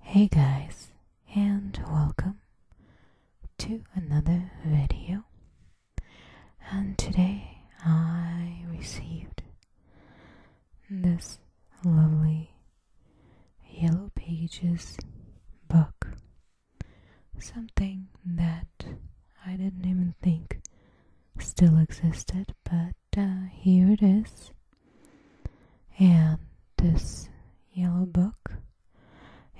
Hey guys and welcome to another video and today I received this lovely yellow pages book something that I didn't even think still existed but uh, here it is and this yellow book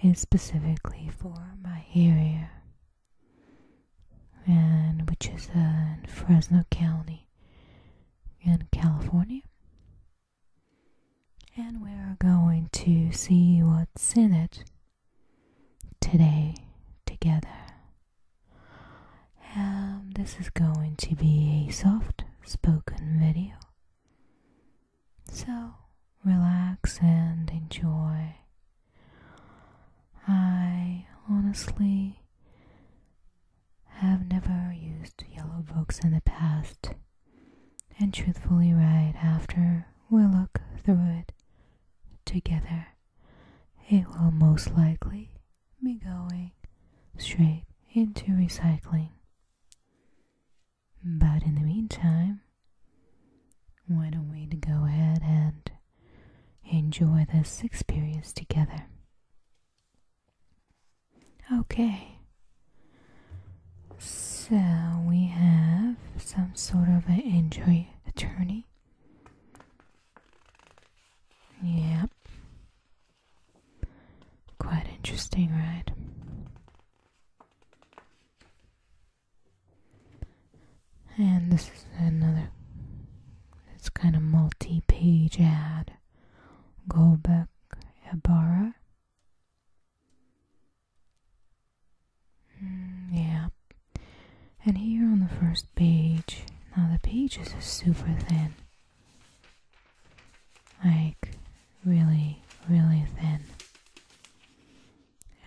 is specifically for my area, and which is in Fresno County in California. And we're going to see what's in it today together. And um, this is going to be a soft spoken video. So, relax and enjoy. I honestly have never used yellow books in the past, and truthfully, right after we look through it together, it will most likely be going straight into recycling. But in the meantime, why don't we go ahead and enjoy this experience together? Okay. So we have some sort of an injury attorney. Yep. Quite interesting, right? And this is another, it's kind of multi page ad. Gobek Ibarra. Mm, yeah. And here on the first page, now the pages are super thin. Like really, really thin.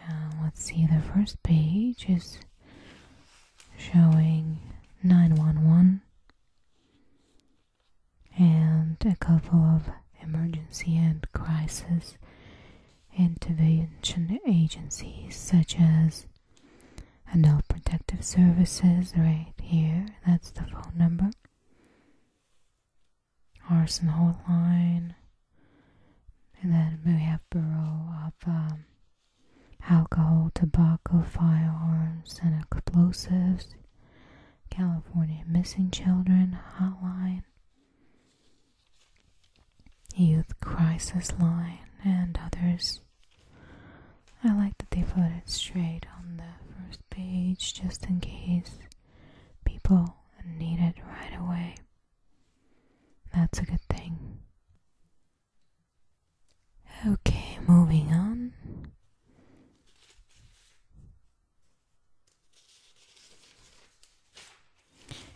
Uh, let's see, the first page is showing 911 and a couple of emergency and crisis intervention agencies such as Adult Protective Services, right here, that's the phone number, Arsenal Hotline, And then we have Bureau of um, Alcohol, Tobacco, Firearms, and Explosives. California Missing Children Hotline. Youth Crisis Line and others. I like that they put it straight on the first page just in case people need it right away. That's a good thing. Okay, moving on.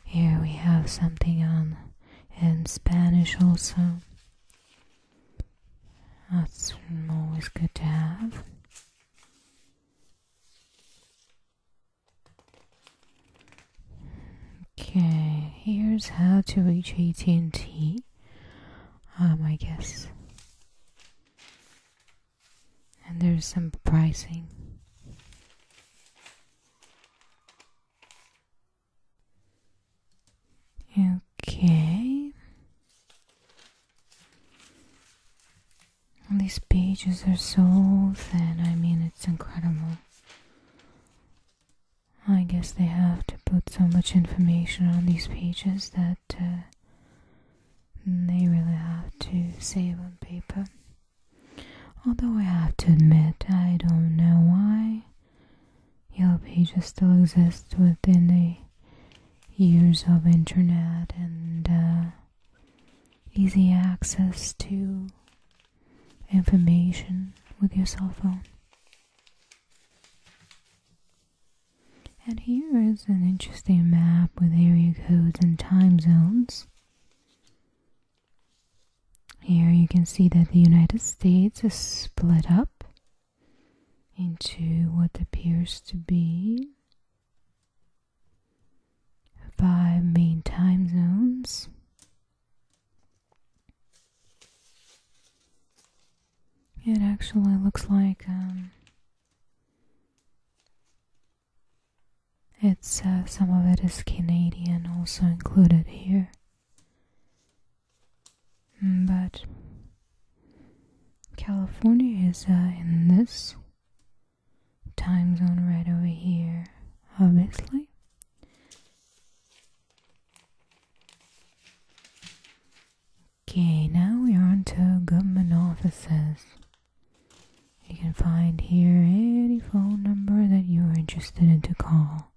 Here we have something on in Spanish also. That's always good to have. Okay, here's how to reach AT&T. Um, I guess. And there's some pricing. Okay these pages are so thin, I mean, it's incredible. I guess they have to put so much information on these pages that uh, they really have to save on paper. Although I have to admit, I don't know why Yellow Pages still exists within the Years of internet and uh, easy access to information with your cell phone. And here is an interesting map with area codes and time zones. Here you can see that the United States is split up into what appears to be five main time zones. It actually looks like um, it's uh, some of it is Canadian also included here. Mm, but California is uh, in this time zone right over here, obviously. Okay, now we are on to government offices. You can find here any phone number that you are interested in to call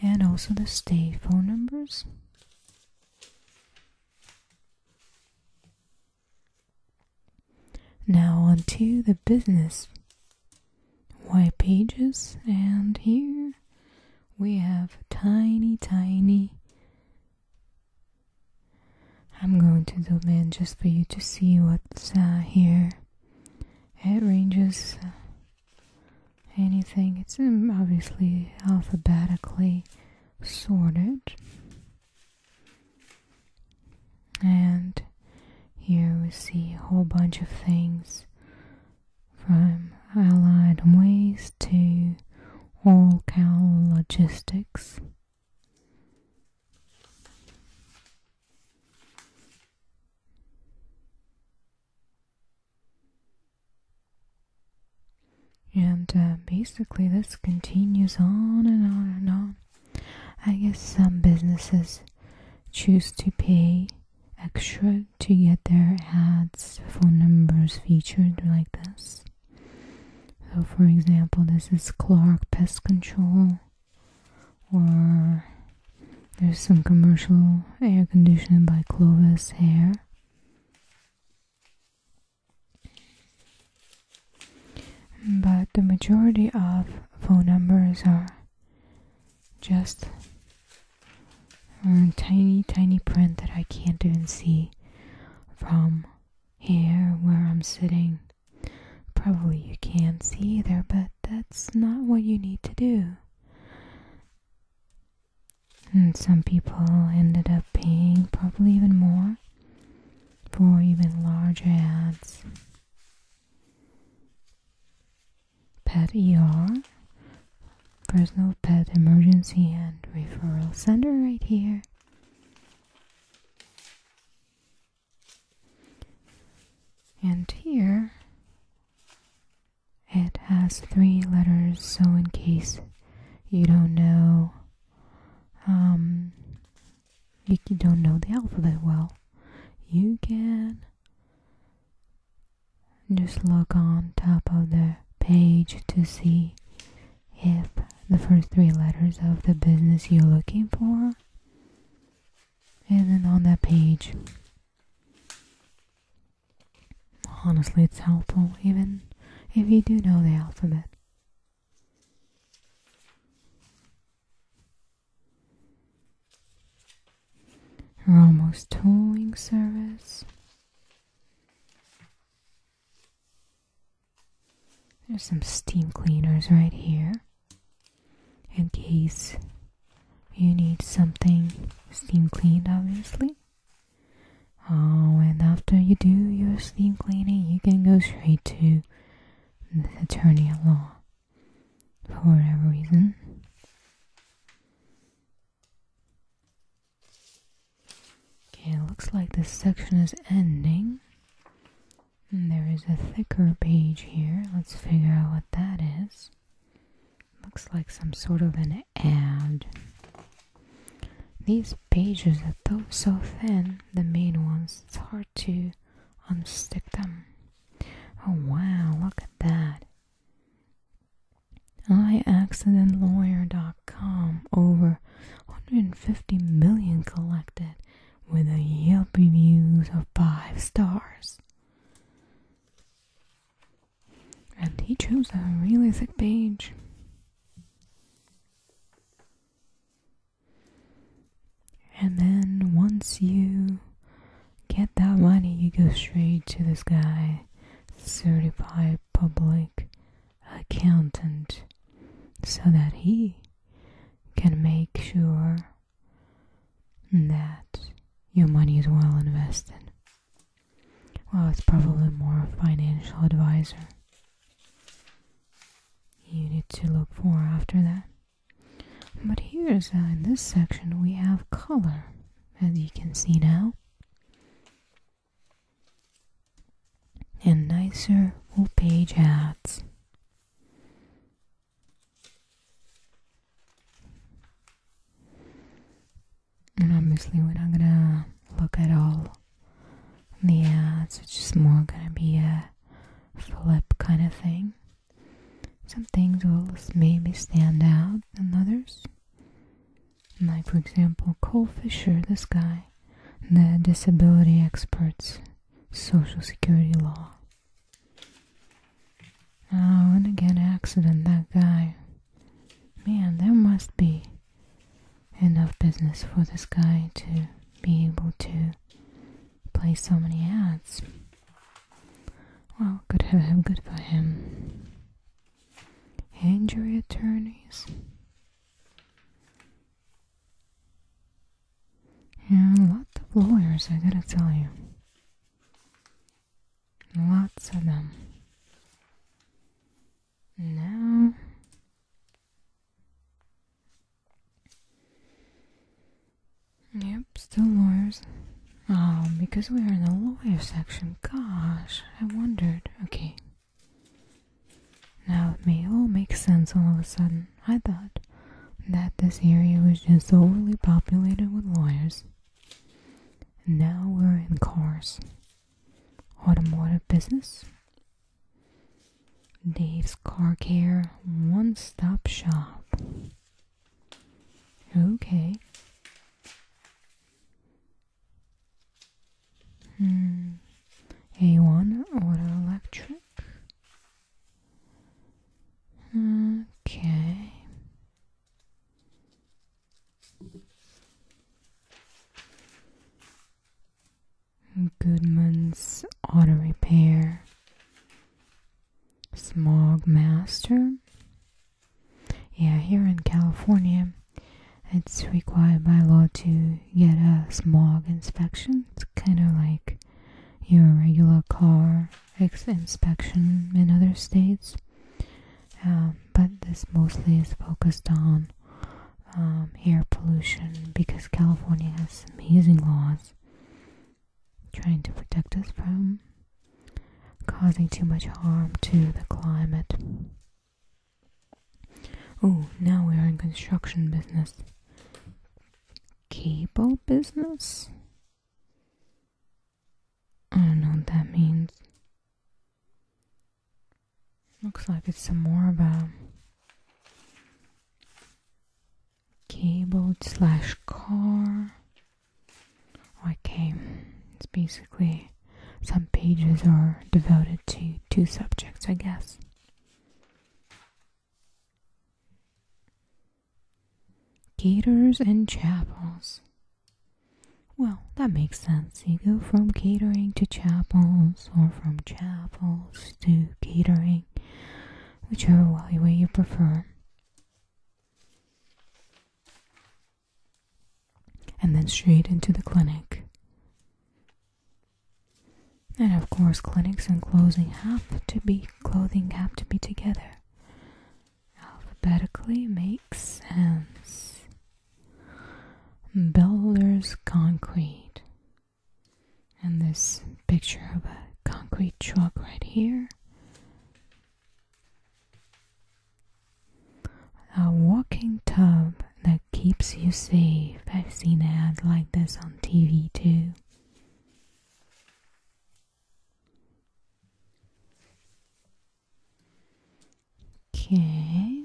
and also the state phone numbers. Now onto the business white pages and here we have tiny tiny I'm going to zoom in just for you to see what's uh, here it ranges anything. It's um, obviously alphabetically sorted. And here we see a whole bunch of things from allied ways to all cow logistics. And uh, basically, this continues on and on and on. I guess some businesses choose to pay extra to get their ads, phone numbers featured like this. So, for example, this is Clark Pest Control, or there's some commercial air conditioning by Clovis Hair. But the majority of phone numbers are just tiny, tiny print that I can't even see from here where I'm sitting. Probably you can't see either, but that it's not what you need to do. And some people ended up paying probably even more for even larger ads. Pet ER, personal pet emergency and referral center right here. And here it has three letters, so in case you don't know, um, you don't know the alphabet well, you can just look on top of the page to see if the first three letters of the business you're looking for is then on that page. Honestly, it's helpful even if you do know the alphabet. almost towing Service. There's some steam cleaners right here in case you need something steam cleaned, obviously. Oh, and after you do your steam cleaning, you can go straight to the attorney at law for whatever reason. Okay, it looks like this section is ending. there is a thicker page here. Let's figure out what that is. Looks like some sort of an ad. These pages are so thin, the main ones, it's hard to unstick them. Oh wow, look at that. accident lawyer com. over 150 million collected with a Yelp reviews of 5 stars. And he chose a really thick page. And then once you get that money, you go straight to this guy, certified public accountant, so that he can make sure that your money is well invested. Well, it's probably more a financial advisor you need to look for after that. But here's uh, in this section we have color, as you can see now. And nicer full page ads. And obviously, we're not gonna look at all the ads, it's just more gonna be a flip kind of thing. Some things will maybe stand out than others. Like, for example, Cole Fisher, this guy, the disability expert's social security law. Oh, what a good accident, that guy. Man, there must be enough business for this guy to be able to play so many ads. Well, good for him, good for him. Injury attorneys. Yeah, a lot of lawyers, I gotta tell you. Lots of them. Now Yep, still lawyers. Oh, because we are in the lawyer section. Gosh, I wondered. Okay. Now it may all make sense all of a sudden. I thought that this area was just overly populated with lawyers. And now we're in cars. Automotive business. Dave's Car Care One Stop Shop. Okay. Hmm. A1 Auto Electric. Okay. Goodman's Auto Repair, Smog Master. Yeah, here in California, it's required by law to get a smog inspection. It's kind of like your regular car inspection in other states, um, but this mostly is focused on um, air pollution because California has amazing laws trying to protect us from causing too much harm to the climate. Oh, now we are in construction business. Cable business? I don't know what that means. Looks like it's some more of a cable slash car. Okay, oh, it's basically some pages are devoted to two subjects, I guess. Caters and chapels. Well, that makes sense. You go from catering to chapels or from chapels to catering, whichever way you prefer. And then straight into the clinic. And of course, clinics and clothing have to be clothing have to be together alphabetically makes sense. Builders concrete. And this picture of a concrete truck right here. A walking tub that keeps you safe. I've seen ads like this on TV too. Okay.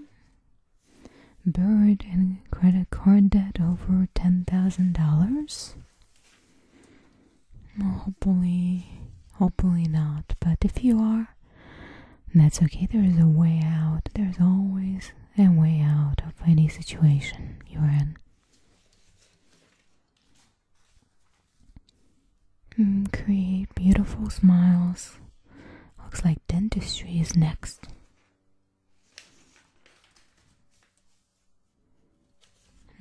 Buried credit card debt over $10,000? Well, hopefully, hopefully not. But if you are, that's okay. There is a way out. There's always a way out of any situation you're in. Hmm, create beautiful smiles. Looks like dentistry is next.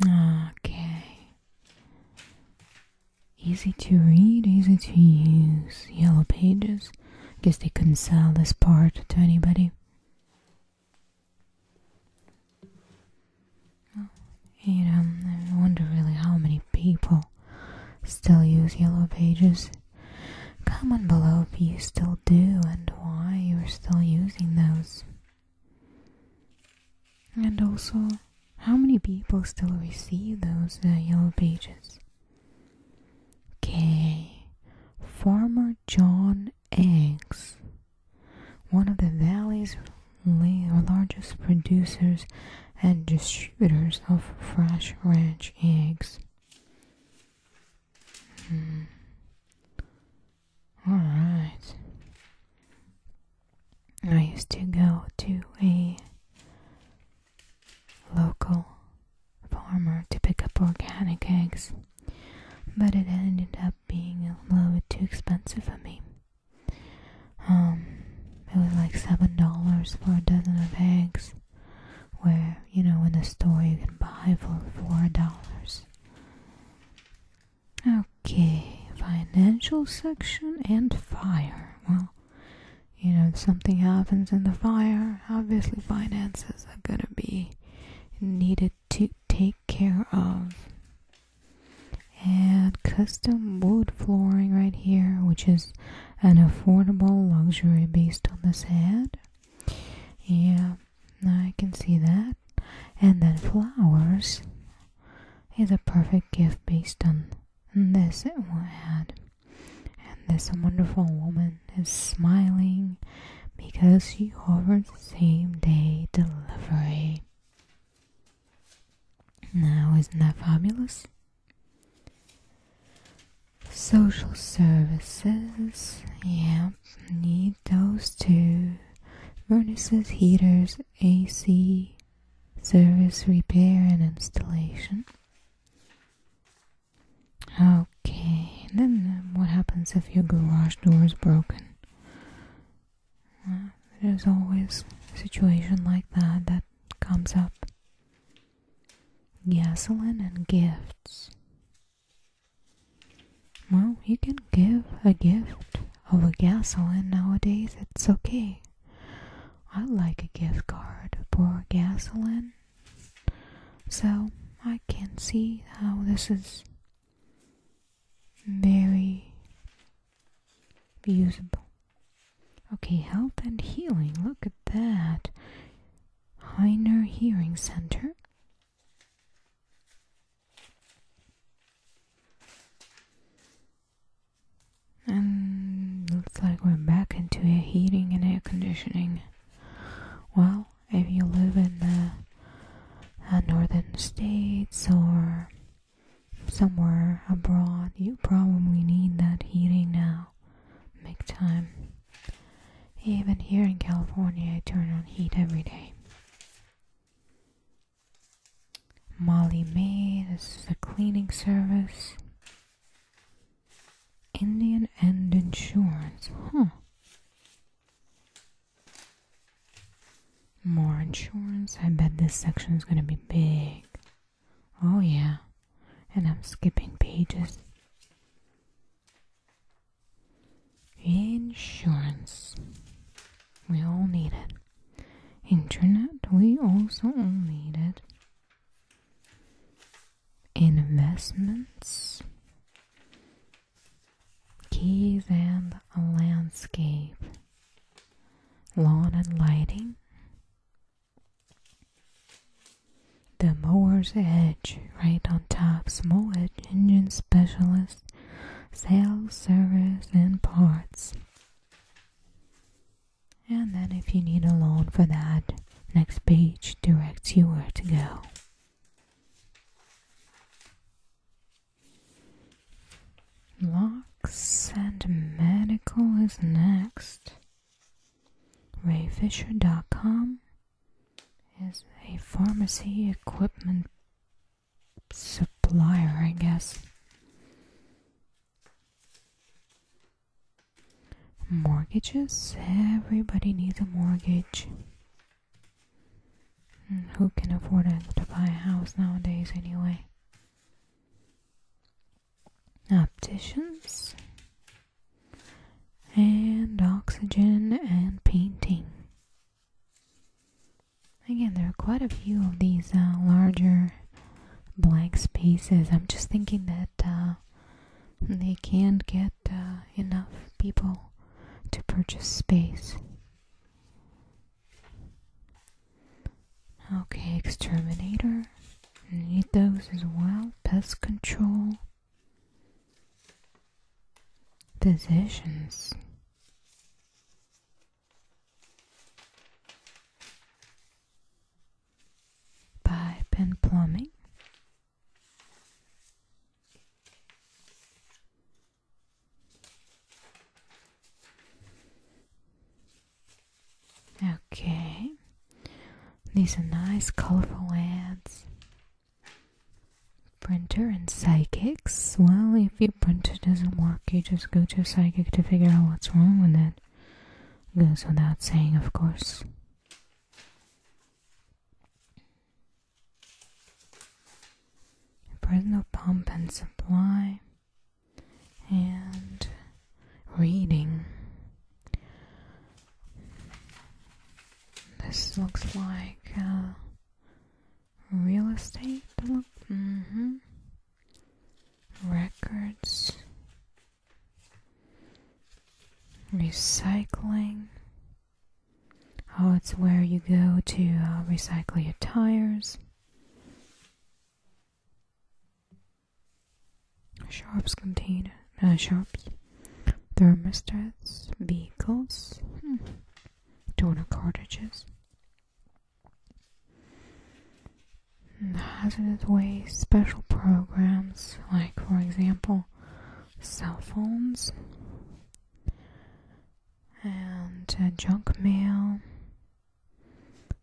Okay. Easy to read, easy to use. Yellow pages. Guess they couldn't sell this part to anybody. You know, I wonder really how many people still use Yellow Pages. Comment below if you still do and why you're still using those. And also, how many people still receive those uh, Yellow Pages? Okay, Farmer John Eggs one of the valley's largest producers and distributors of fresh ranch eggs. Hmm. All right. I used to go to a local farmer to pick up organic eggs, but it ended up being a little bit too expensive for me. Um, it was like seven dollars for a dozen of eggs, where you know in the store you can buy for four dollars. Okay, financial section and fire. Well, you know, if something happens in the fire, obviously finances are gonna be needed to take care of and custom wood flooring right here which is an affordable luxury based on this ad yeah i can see that and then flowers is a perfect gift based on this ad and this wonderful woman is smiling because she ordered same day delivery now, isn't that fabulous? Social services, yep, need those too. Furnaces, heaters, AC, service repair and installation. Okay, then what happens if your garage door is broken? There's always a situation like that that comes up. Gasoline and gifts. Well, you can give a gift of a gasoline nowadays, it's okay. I like a gift card for gasoline. So, I can see how this is very usable. Okay, health and healing. Look at that. Heiner Hearing Center. And looks like we're back into air heating and air conditioning. Well, if you live in the uh, northern states or somewhere abroad, you probably need that heating now. Make time. Even here in California, I turn on heat every day. Molly May, this is the cleaning service. Indian End insurance, huh? More insurance. I bet this section is gonna be big. Oh, yeah. And I'm skipping pages. Insurance. We all need it. Internet. We also all need it. Investments. Keys and a landscape lawn and lighting, the mower's edge right on top, small engine specialist, sales, service, and parts. And then, if you need a loan for that, next page directs you where to go. Locks and Medical is next. RayFisher.com is a pharmacy equipment supplier, I guess. Mortgages? Everybody needs a mortgage. Hmm, who can afford to buy a house nowadays, anyway? opticians and oxygen and painting. Again, there are quite a few of these uh, larger blank spaces. I'm just thinking that uh, they can't get uh, enough people to purchase space. Okay, exterminator. Need those as well. Pest control. Physicians. Pipe and plumbing. Okay, these are nice colorful ads. Printer and psychics. Well, if your printer doesn't work, you just go to a psychic to figure out what's wrong with it. Goes without saying, of course. Personal pump and supply and reading. This looks like uh, real estate. Mm-hmm. records, recycling. Oh, it's where you go to uh, recycle your tires. Shops contain uh, shops, thermostats, vehicles, hmm. donor cartridges, hmm, hazardous waste, special programs like, for example, cell phones and uh, junk mail,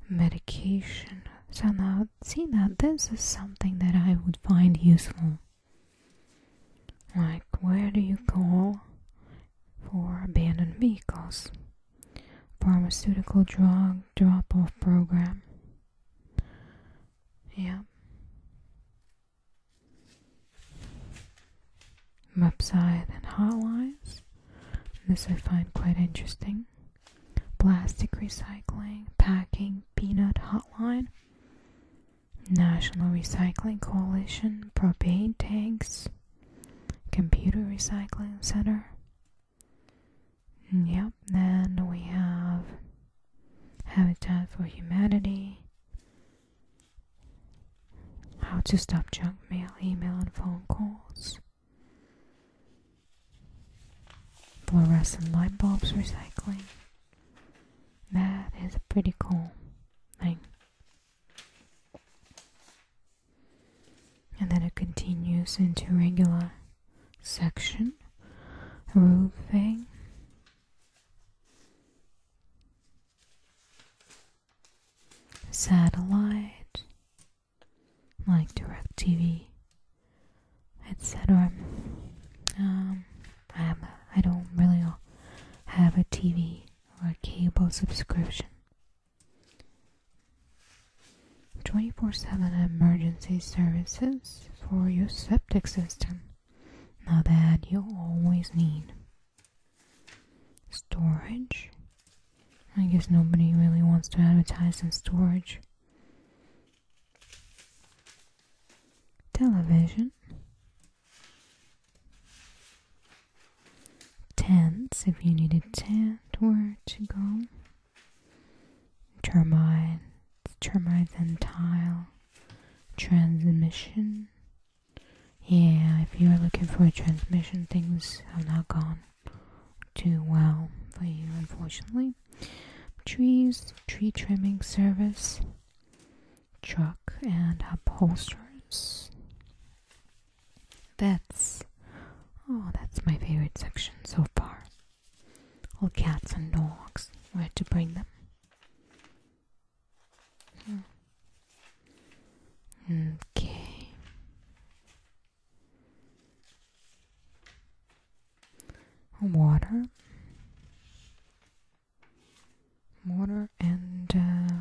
medication. So now, see that this is something that I would find useful. Like, where do you call for abandoned vehicles? Pharmaceutical drug drop off program. Yeah. Website and hotlines. This I find quite interesting. Plastic recycling, packing, peanut hotline, National Recycling Coalition, propane tanks, computer recycling center. Mm, yep, then we have Habitat for Humanity, how to stop junk mail, email, and phone calls. Fluorescent light bulbs recycling. That is a pretty cool thing. And then it continues into regular section roofing. Satellite like DirecTV, etc. Um, I don't really have a TV or a cable subscription. 24/7 emergency services for your septic system. Now that you always need storage I guess nobody really wants to advertise in storage. Television. Tents, if you need a tent, where to go. Termite, termites and tile. Transmission. Yeah, if you're looking for a transmission, things have not gone. Too well for you, unfortunately. Trees, tree trimming service, truck and upholsterers, vets. Oh, that's my favorite section so far. All cats and dogs, where to bring them. Hmm. Okay water water and uh,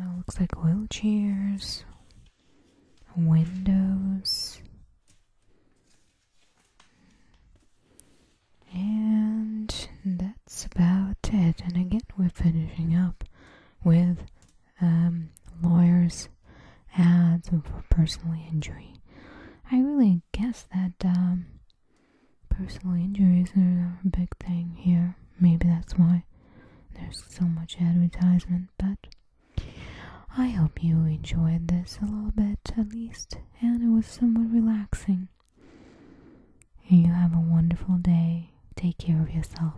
uh looks like wheelchairs windows and that's about it and again we're finishing up with um, lawyers, ads for personal injury. I really guess that um, personal injuries are a big thing here. Maybe that's why there's so much advertisement, but I hope you enjoyed this a little bit at least, and it was somewhat relaxing. And you have a wonderful day. Take care of yourself.